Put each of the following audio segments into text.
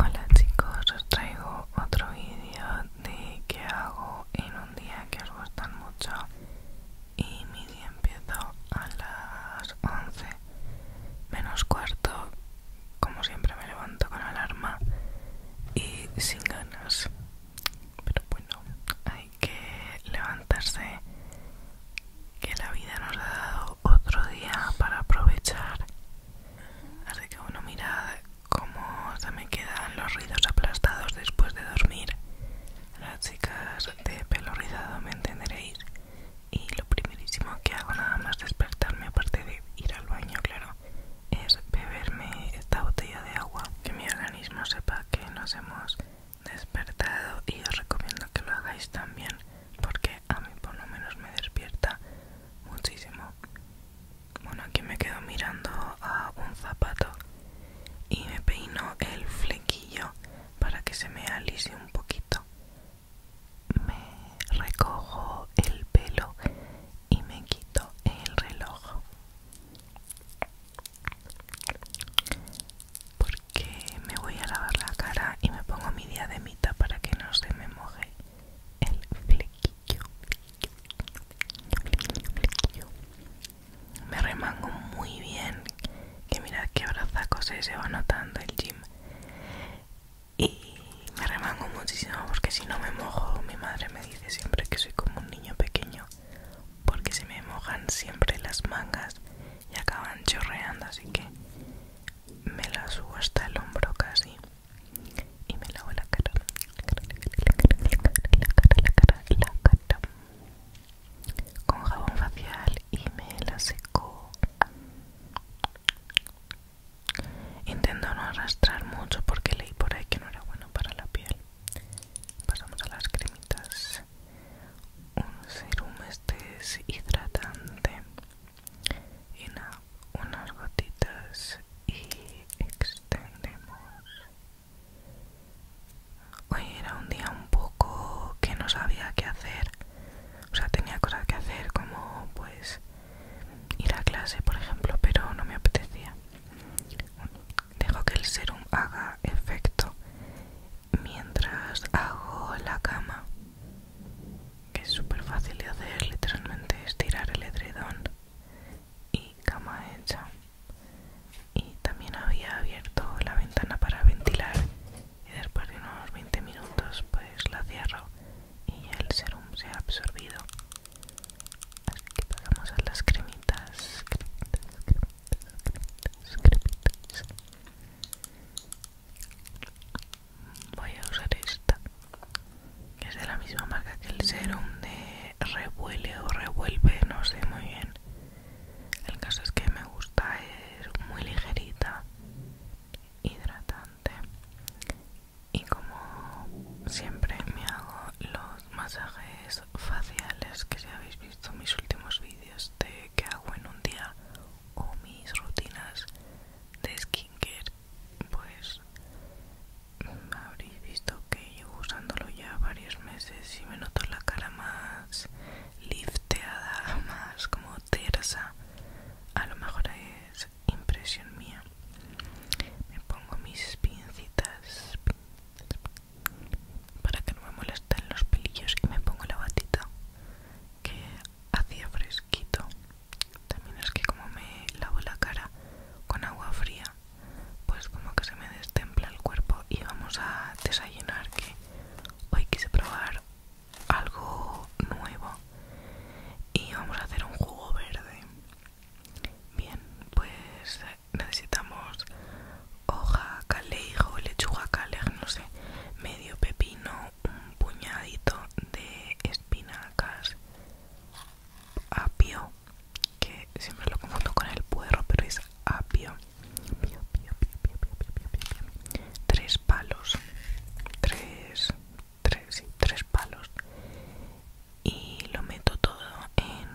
Hola chicos, os traigo otro vídeo de qué hago en un día que os gustan mucho y mi día empieza a las 11 menos cuarto, como siempre me levanto con alarma y sin ganas, pero bueno, hay que levantarse que la vida nos ha dado otro día para aprovechar así que bueno, mirad cómo se me quedan los ruidos aplastados después de dormir. Las chicas de pelo rizado me entenderéis. Y lo primerísimo que hago nada más despertarme, aparte de ir al baño, claro, es beberme esta botella de agua. Que mi organismo sepa que nos hemos despertado y os recomiendo que lo hagáis también porque a mí por lo menos me despierta muchísimo. Bueno, aquí me quedo mirando a un zapato y me peino el flequillo para que se me alise un poquito. Me recojo el pelo y me quito el reloj. Porque me voy a lavar la cara y me pongo mi diademita para que no se me moje el flequillo, Me remango muy bien. Que mirad qué brazacos se va notando el gym. Y me remango muchísimo porque si no me mojo, mi madre me dice siempre que soy como un niño pequeño. Porque se me mojan siempre las mangas y acaban chorreando. Así que me las subo hasta el hombro casi y me lavo la cara, la cara, la cara, la cara, cara, cara, con jabón facial y me la seco. Intento no arrastrar mucho porque leí por ahí que no era bueno para la piel. Pasamos a las cremitas. Un serum este es hidratante y unas gotitas y extendemos. Hoy era un día un poco que no sabía qué hacer. O sea, tenía cosas que hacer como pues ir a clase, por ejemplo, pero no me apetecía. Dejo que el serum haga efecto mientras hago la cama que es súper fácil de hacer, literalmente es tirar el edredón y cama hecha. Y también había abierto la ventana para ventilar y después de unos 20 minutos pues la cierro y el serum se ha absorbido. Así que pasamos a las cremitas, cremitas, cremitas, cremitas voy a usar esta que es de la misma marca que el serum de revuele o revuelve no sé muy bien el caso es que me gusta es muy ligerita hidratante y como siempre me hago los masajes faciales que si habéis visto mis últimos vídeos de que hago en un día o mis rutinas de skincare pues mm, habréis visto que llevo usándolo ya varios meses y me noto la cara más lifteada más como tersa a lo mejor es impresión mía me pongo mis pincitas para que no me molesten los pelillos y me pongo la batita que hacía fresquito también es que como me lavo la cara con agua fría, pues como que se me destempla el cuerpo y vamos a desayunar que hoy quise probar algo nuevo y vamos a hacer un jugo verde. Bien, pues necesitamos hoja, calejo, lechuga, calejo, no sé, medio pepino, un puñadito de espinacas apio que siempre lo confundo con el puerro pero es apio apio, tres palos tres tres sí, tres palos y lo meto todo en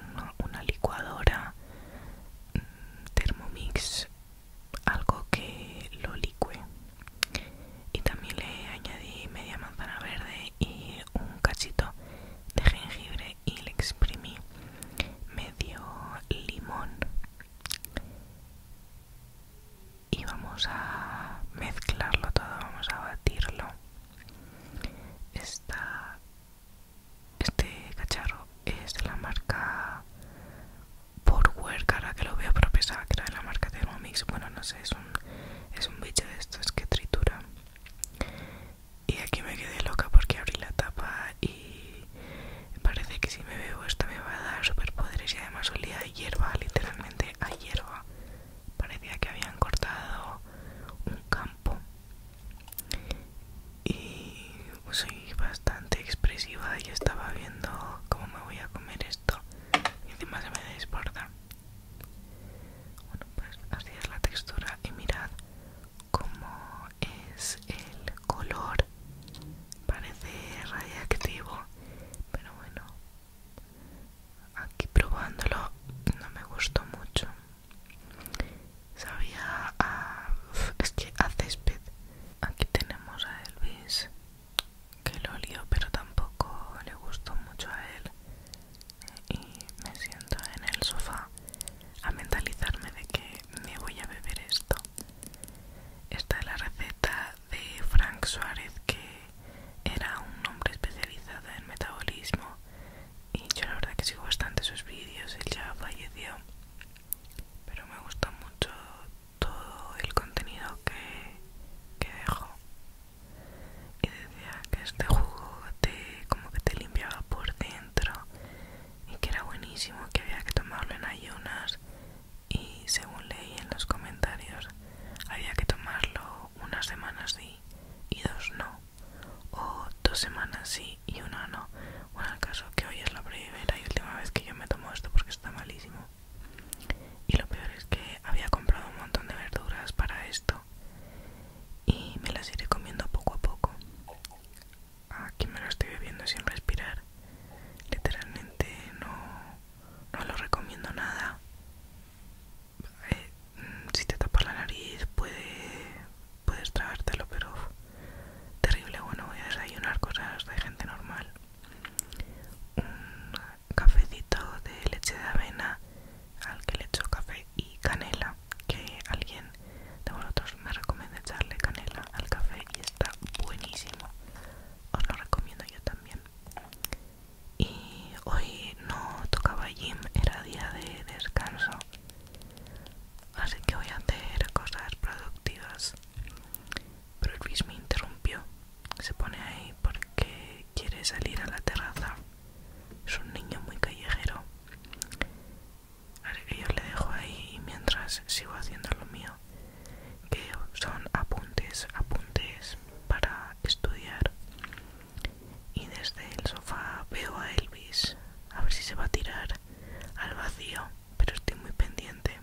una licuadora mm, Thermomix algo que lo licue y también le añadí media manzana verde y un cachito de jengibre y le exprimí medio limón y vamos a mezclarlo todo vamos a batirlo está este cacharro es de la marca por ahora que lo veo, pero que era de la marca Thermomix. Bueno, no sé, es un, es un bicho de estos que tritura. Y aquí me quedé loca porque abrí la tapa y parece que si me bebo esta me va a dar superpoderes y además olía a hierba, literalmente a hierba. Parecía que habían cortado un campo. Y soy bastante expresiva y estaba viendo cómo me voy a comer esto y encima se me desborda bueno pues así es la textura y mirad cómo es el color parece radiactivo pero bueno aquí probándolo no me gustó mucho sabía a, es que a césped aquí tenemos a Elvis que lo pero tampoco le gustó mucho a él y me siento en el sofá a mentalizarme de que me voy a beber esto. Esta es la receta de Frank Suárez que era un hombre especializado en metabolismo y yo la verdad que sigo bastante sus vídeos, él ya falleció pero me gusta mucho todo el contenido que, que dejo y decía que este jugo te, como que te limpiaba por dentro y que era buenísimo que había que tomarlo en ayunas y según leí en los comentarios había que tomarlo unas semanas sí y dos no o dos semanas sí y una no bueno el caso que hoy es la primera y última vez que yo me tomo esto porque está malísimo y lo peor es que había comprado un montón de verduras para esto y me las iré comiendo poco a poco. Aquí me lo estoy bebiendo sin respirar. Literalmente no, lo recomiendo nada. Eh, si te tapas la nariz puedes tragártelo, pero terrible. Bueno, voy a desayunar cosas de gente normal un cafecito de leche de avena al que le echo café y canela que alguien de vosotros me recomienda echarle canela al café y está buenísimo os lo recomiendo yo también y hoy no tocaba gym era día de descanso así que voy a hacer cosas productivas pero Elvis me interrumpió. Se pone ahí porque quiere salir a la terraza. Es un niño muy callejero. Así que yo le dejo ahí mientras sigo haciendo lo mío. Que son apuntes, apuntes para estudiar. Y desde el sofá veo a Elvis. A ver si se va a tirar al vacío. Pero estoy muy pendiente.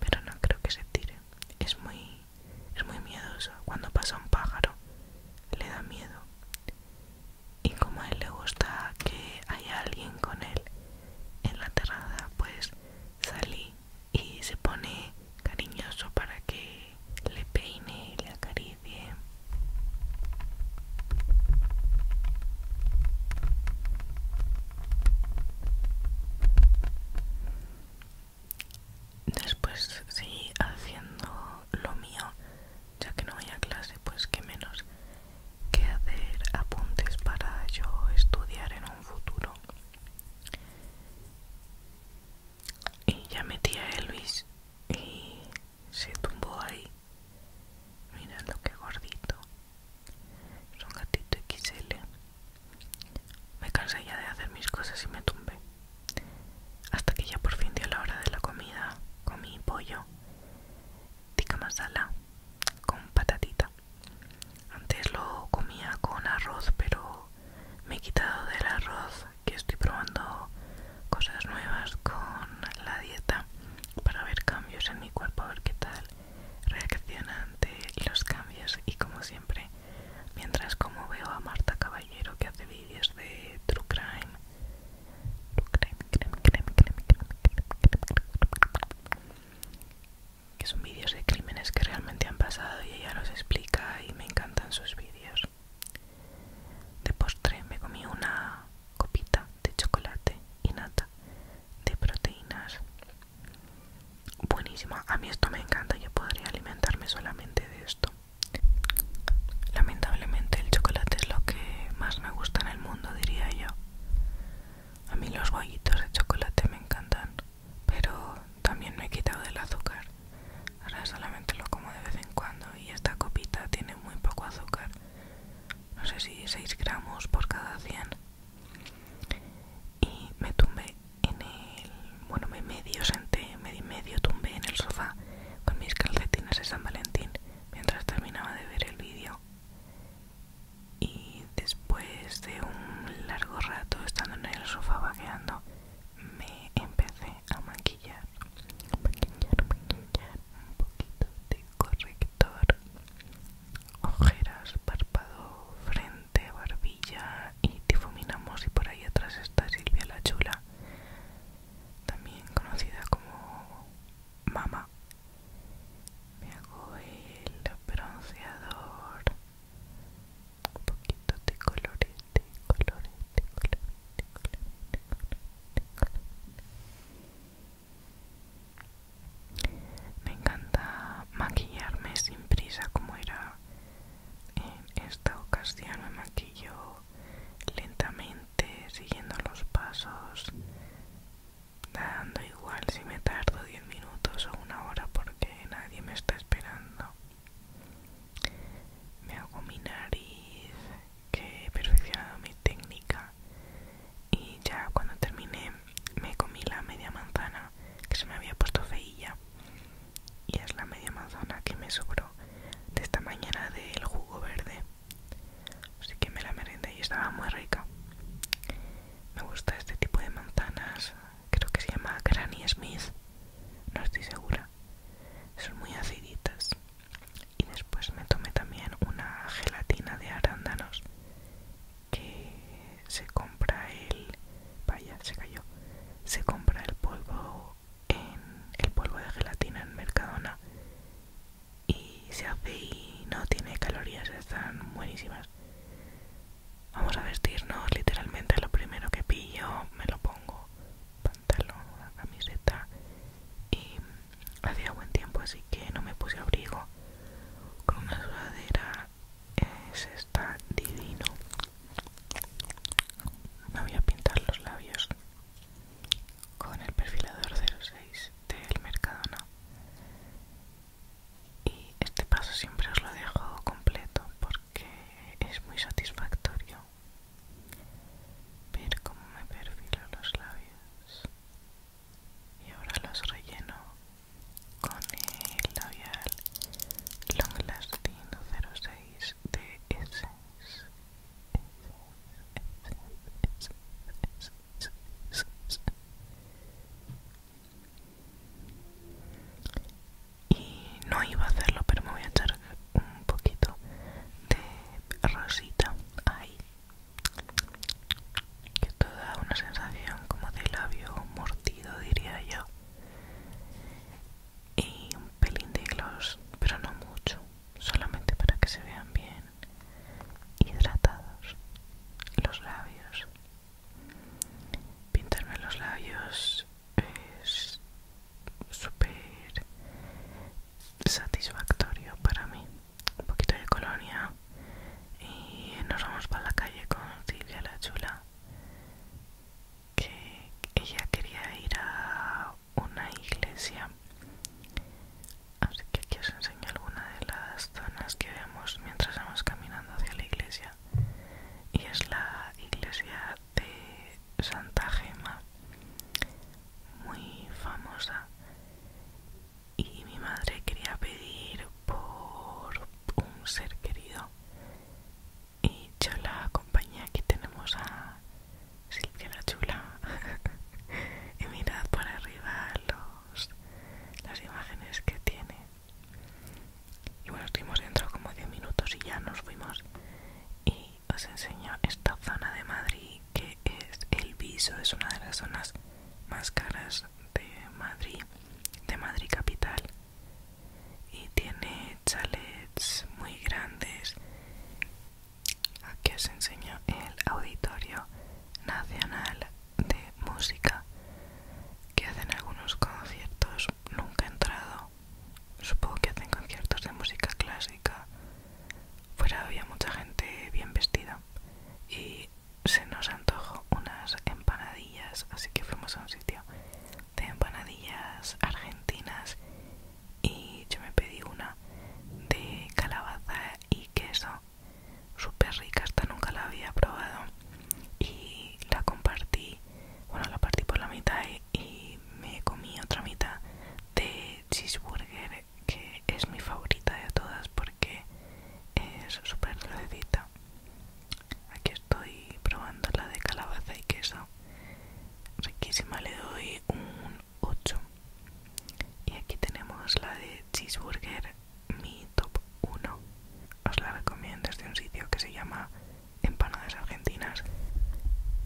Pero no creo que se tire. Es muy, es muy miedoso. Cuando pasa un pájaro, le da miedo. Y como a él le gusta que haya alguien con él en la terraza, pues salí y se pone cariñoso para que le peine y le acaricie. Después seguí haciendo lo mío, ya que no voy a clase, pues que menos que hacer apuntes para yo estudiar en un futuro. Y ya metí a Elvis y se tumbó ahí. Mirando lo que gordito. Es un gatito XL. Me cansé ya de hacer mis cosas y me tumbé. Hasta que ya por fin dio la hora de la comida, comí pollo, tikka masala con patatita. Antes lo comía con arroz, pero me he quitado del arroz que estoy probando cosas nuevas con la dieta para ver cambios en mi cuerpo, a ver qué tal. Reaccionante ante los cambios y como siempre, mientras como veo a Marta Caballero que hace vídeos de True Crime, crime que son vídeos de crímenes que realmente han pasado y ella los explica y me encantan sus vídeos. De postre me comí una copita de chocolate y nata de proteínas buenísima a mí esto me encanta yo podría alimentarme solamente de esto lamentablemente el chocolate es lo que más me gusta en el mundo diría yo a mí los bollitos de chocolate me encantan pero también me he quitado del azúcar ahora solamente lo como de vez en cuando y esta copita tiene muy poco azúcar no sé si 6 gramos por cada 100 y me tumbé en el bueno me medio senté medio medio tumbé en el sofá con mis calcetines de San Valentín mientras terminaba de ver el vídeo y después de un largo rato estando en el sofá vaqueando me empecé a maquillar maquillar un poquito de corrector ojeras, párpado, frente, barbilla y difuminamos y por ahí atrás está Silvia la Chula, también conocida como Mama. Me hago el bronceador, un poquito de colores colores, me encanta maquillarme sin prisa como era en esta ocasión. Me maquillo lentamente, siguiendo los pasos, dando igual si me tardo 10 minutos o una hora porque nadie me está esperando. Me hago mi nariz, que he perfeccionado mi técnica y ya cuando terminé me comí la media manzana que se me había puesto feilla y es la media manzana que me sobró de esta mañana del jugo verde así que me la merendé y estaba muy rica me gusta este tipo de manzanas creo que se llama Granny Smith no estoy segura son muy aciditas y después me tomé también una gelatina de arándanos que se compra el vaya se cayó se compra el polvo en el polvo de gelatina en Mercadona y se hace y no tiene calorías están buenísimas vamos a vestirnos literalmente lo primero que pillo me lo pongo pantalón camiseta y Hacía buen tiempo así que no me puse abrigo. Con una sudadera es esta divino. Me voy a pintar los labios con el perfilador 06 del Mercadona. Y este paso siempre os lo dejo completo porque es muy satisfactorio ver cómo me perfilo los labios y ahora los relleno con el labial Long Lasting 06 de Essence. Y no iba a hacerlo, pero me voy a echar un poquito de rosita ahí que esto da una sensación como de labio mordido diría yo y un pelín de gloss pero no mucho solamente para que se vean bien hidratados los labios pintarme los labios es súper satisfactorio para mí un poquito de colonia y nos vamos para la calle con Silvia la Chula que ella quería ir a una iglesia así que aquí os enseño alguna de las zonas que vemos mientras vamos caminando hacia la iglesia y es la iglesia de Santa Gema muy famosa y mi madre quería pedir por un ser querido y yo la acompañé aquí tenemos a Silvia la chula y mirad por arriba los las imágenes que tiene y bueno estuvimos dentro como 10 minutos y ya nos fuimos y os enseño esta zona de Madrid que es el viso, es una de las zonas más caras de Madrid, de Madrid capital. Y tiene chalets muy grandes. Aquí os enseño el Auditorio Nacional de Música, que hacen algunos conciertos, nunca he entrado. Supongo que hacen conciertos de música clásica. Fuera había mucha gente bien vestida y se nos antojó unas empanadillas, así que fuimos a un sitio de empanadillas argentinas y yo me pedí una de calabaza y queso, súper rica, hasta nunca la había probado y la compartí, bueno la partí por la mitad y, y me comí otra mitad de cheeseburger que es mi favorita de todas porque es súper dulcecita. Aquí estoy probando la de calabaza y queso. Riquísima, le doy un 8. Y aquí tenemos la de cheeseburger, mi top 1. Os la recomiendo, es de un sitio que se llama Empanadas Argentinas.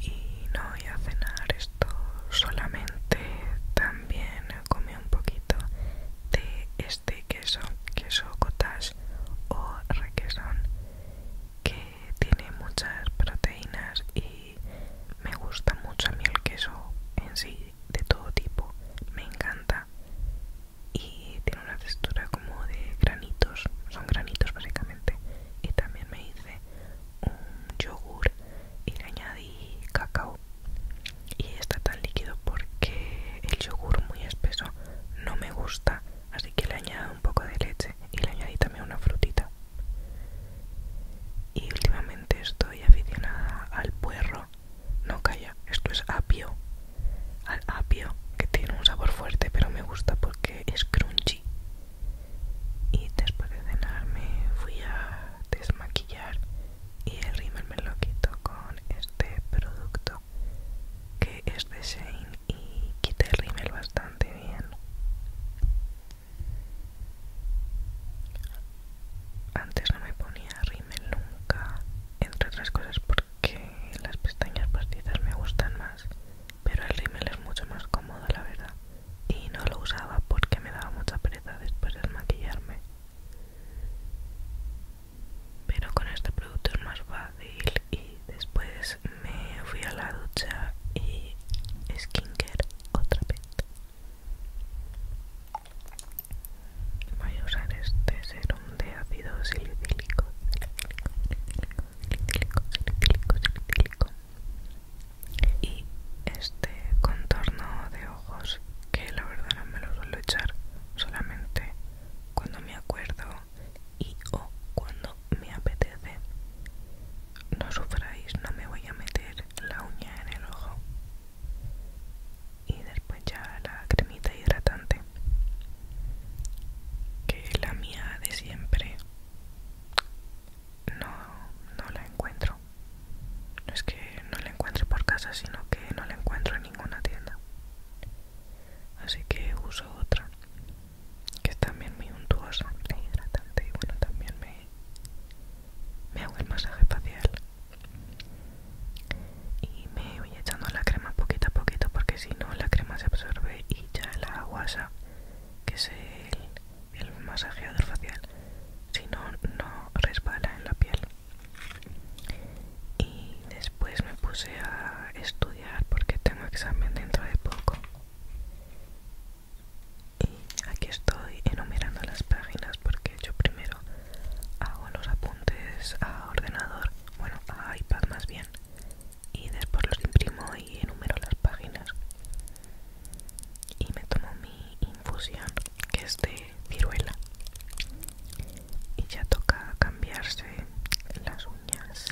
Y no voy a cenar esto solamente, también como un poquito de este queso, queso cottage o requesón, que tiene muchas proteínas y me gusta mucho a mí el queso en sí, de todo tipo, me encanta y tiene una textura como de granitos, son granitos básicamente y también me hice un yogur y le añadí cacao y está tan líquido porque el yogur muy espeso no me gusta así que le añado un poco de leche y le añadí también una frutita y últimamente estoy aficionada al puerro no calla esto es apio al apio que tiene un sabor fuerte pero me gusta porque es crunchy y después de cenar fui a desmaquillar y el rímel me lo quito con este producto que es de Shane y quita el rímel bastante bien antes no me ponía rímel nunca entre otras cosas porque las pestañas postizas me gustan más pero el rímel es mucho más cómodo la verdad y no lo usaba porque me daba mucha pereza después de maquillarme pero con este producto es más fácil y después me fui a la ducha y skincare otra vez voy a usar este serum de ácido silicílico y este contorno de ojos que la verdad no me lo suelo echar solamente cuando me acuerdo y o cuando me apetece no sufráis no me voy a meter la uña en el ojo y después ya la cremita hidratante que la mía de siempre no, no la encuentro no es que no la encuentre por casa, sino que no la encuentro en ninguna tienda. Así que uso otra, que es también muy untuosa Y hidratante. Y bueno, también me, me hago el masaje facial. Y me voy echando la crema poquito a poquito, porque si no, la crema se absorbe y ya la aguasa que es el el masajeador facial si no no resbala en la piel y después me puse a estudiar porque tengo examen dentro de poco y aquí estoy enumerando las páginas porque yo primero hago los apuntes a ordenador bueno a iPad más bien y después los imprimo y enumero las páginas y me tomo mi infusión que es de viruela y ya toca cambiarse las uñas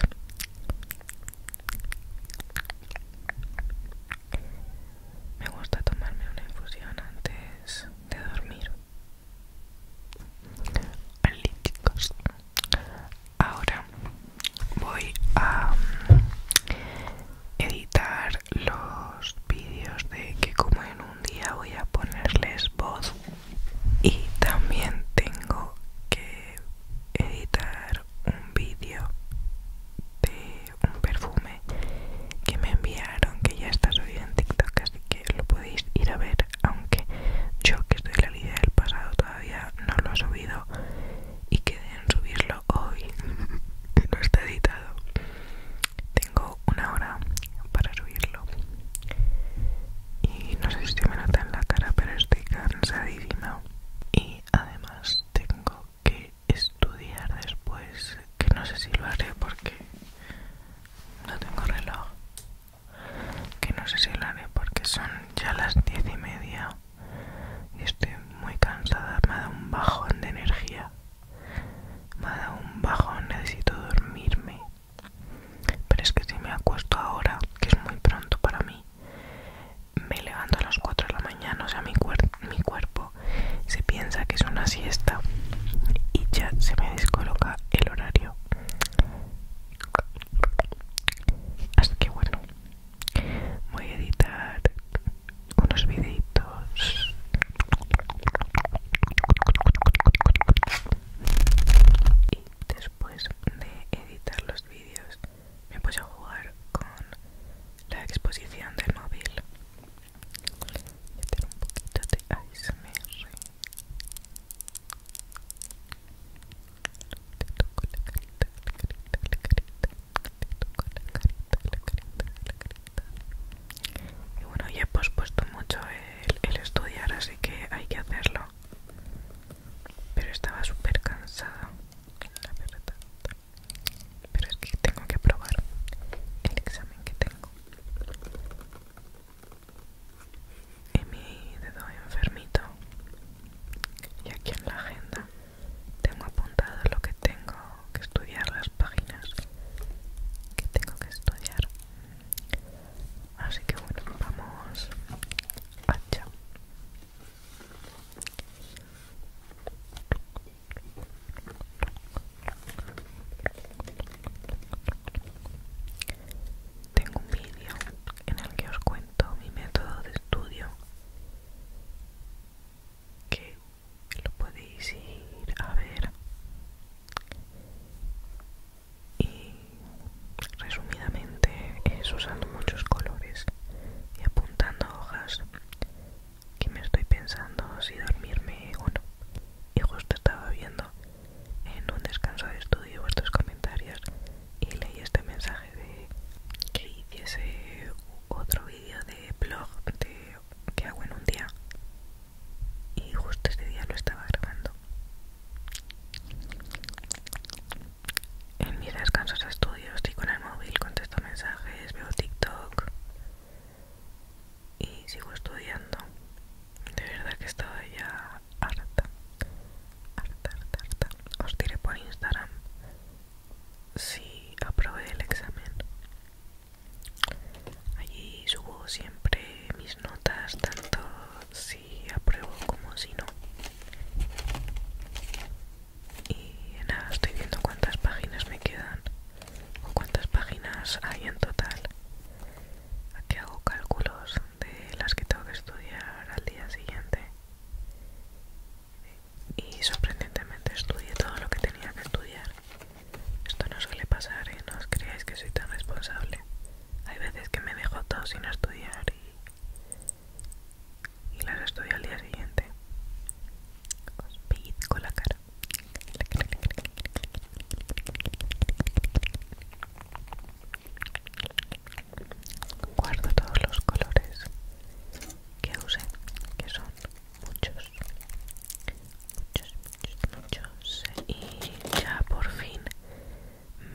me gusta tomarme una infusión antes de dormir al ahora voy a mm, editar los vídeos de que como en un día voy a ponerles voz y también tengo que editar un vídeo de un perfume que me enviaron que ya está subido en TikTok así que lo podéis ir a ver aunque yo que estoy en la vida del pasado todavía no lo he subido y quedé en subirlo hoy, que no está editado, tengo una hora para subirlo. Y no sé si me nota en la cara, pero estoy cansadísima. Y además tengo que estudiar después, que no sé si lo haré porque no tengo reloj. Que no sé si lo haré porque son ya las diez y media y estoy muy cansada, me ha dado un bajón de energía me ha dado un bajón, necesito dormirme. Pero es que si me acuesto ahora, que es muy pronto para mí, me levanto a las 4 de la mañana, o sea, mi, mi cuerpo se piensa que es una siesta y ya se me descoloca el horario. Así que bueno, voy a editar unos videitos y después de editar los vídeos me puse a jugar con la exposición del móvil meter un poquito de ASMR te toco la carita, la carita, la carita y bueno, ya he pospuesto mucho el, estudiar, así que hay que hacerlo. Pero estaba súper cansada, la verdad. Pero es que tengo que probar el examen que tengo. Y mi dedo enfermito. Y aquí en la agenda tengo apuntado lo que tengo que estudiar, las páginas que tengo que estudiar. Así que bueno, vamos chao. Tengo un vídeo en el que os cuento mi método de estudio que lo podéis ir a ver y resumidamente es usando muchos colores y apuntando hojas que me estoy pensando si dormirme o no y justo estaba viendo en un descanso de estudio vuestros comentarios y leí este mensaje de que hiciese otro vídeo de blog de que hago en un día y justo ese día lo estaba grabando en mis descansos estudio estoy con el móvil contesto mensajes veo tiktok y sigo estudiando de verdad que estoy ya harta harta harta harta os tiré por instagram si aprobé el examen. Allí subo siempre mis notas, tanto si apruebo como si no. Y nada, estoy viendo cuántas páginas me quedan o cuántas páginas hay en total. Aquí hago cálculos de las que tengo que estudiar al día siguiente y sorprendentemente estudié todo lo que tenía que estudiar. Esto no suele pasar, y ¿eh? no os creáis que soy tan responsable. Hay veces que me dejo todo sin estudiar y, y las estudio al día siguiente. Os con la cara. Guardo todos los colores que use que son muchos, muchos, muchos, muchos. Y ya por fin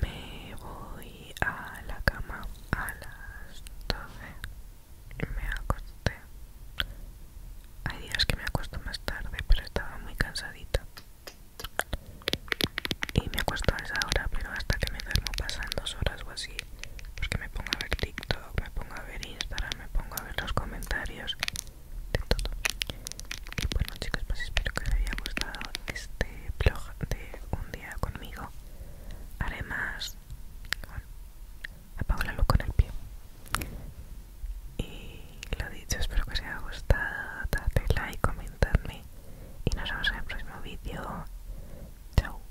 me voy a la cama a las 12. Me acosté. Hay días que me acuesto más tarde, pero estaba muy cansadita. Y me acuesto a esa hora, pero hasta que me duermo pasan dos horas o así pues que me pongo a ver TikTok, me pongo a ver Instagram, me pongo a ver los comentarios de todo. Y bueno chicos, pues espero que os haya gustado este vlog de un día conmigo. Haré más... Bueno, apago la luz con el pie. Y lo dicho, espero que os haya gustado. Dadle like, comentadme y nos vemos en el próximo vídeo. Chao.